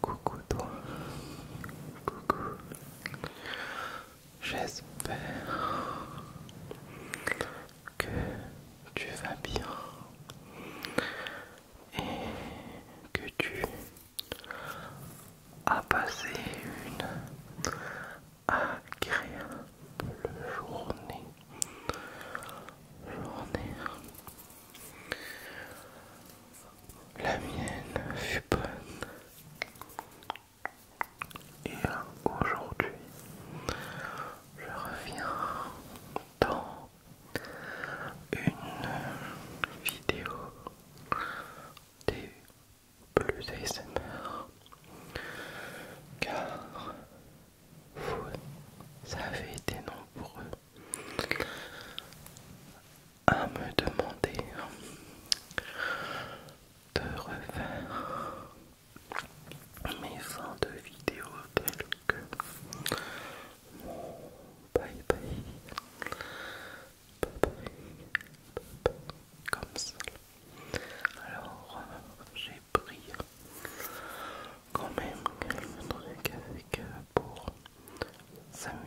Coucou toi. Coucou. J'espère que tu vas bien et que tu as passé une agréable journée. Journée la mienne fut bonne. Et aujourd'hui, je reviens dans une vidéo des plus ASMR car vous avez été nombreux à me demander de refaire mes fins de vidéo telles que mon bye bye, bye, bye, bye, comme ça. Alors, euh, j'ai pris quand même qu'elle ne trouvait qu'avec pour s'amuser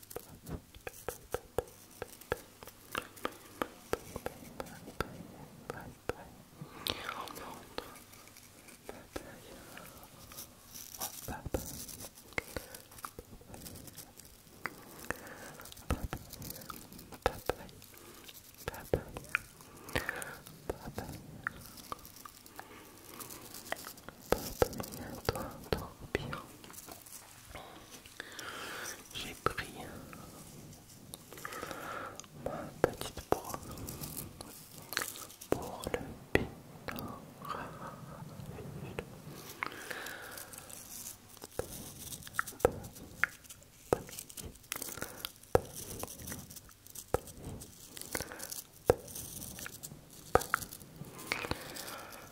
papa... toi, toi, pap j'ai pris ma petite brosse pour le pinard.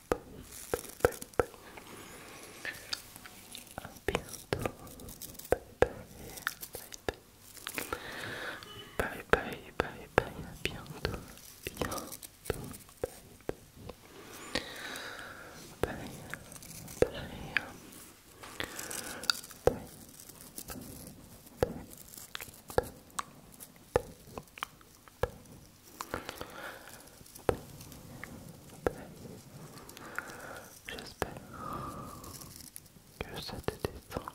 A bientôt. Bye bye. bientôt. J'espère que ça te détend.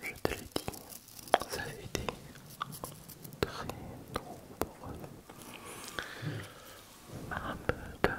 je te l'ai dit, ça a été très nombreux à me demander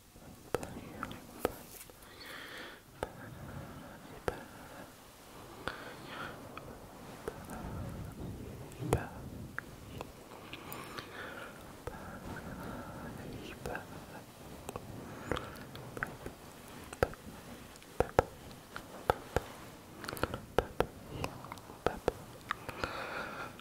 Papa,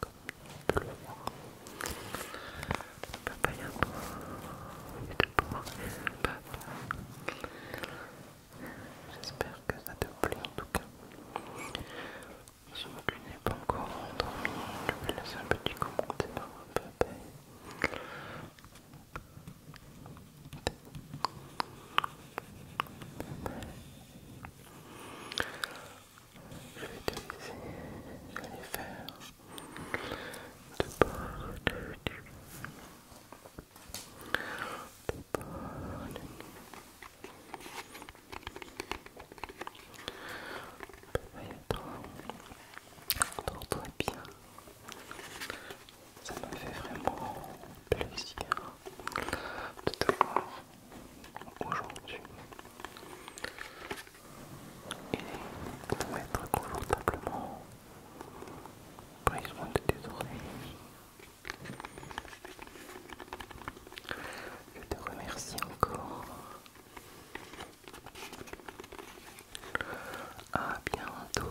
comme on J'espère que ça te plaît en tout cas. Si tu n'es pas encore endormi, je laisser un petit commentaire je vais te laisser faire de pas De bien. Ça me fait vraiment plaisir de te voir aujourd'hui et pour être confortablement prise de tes oreilles. Je te remercie encore. À bientôt.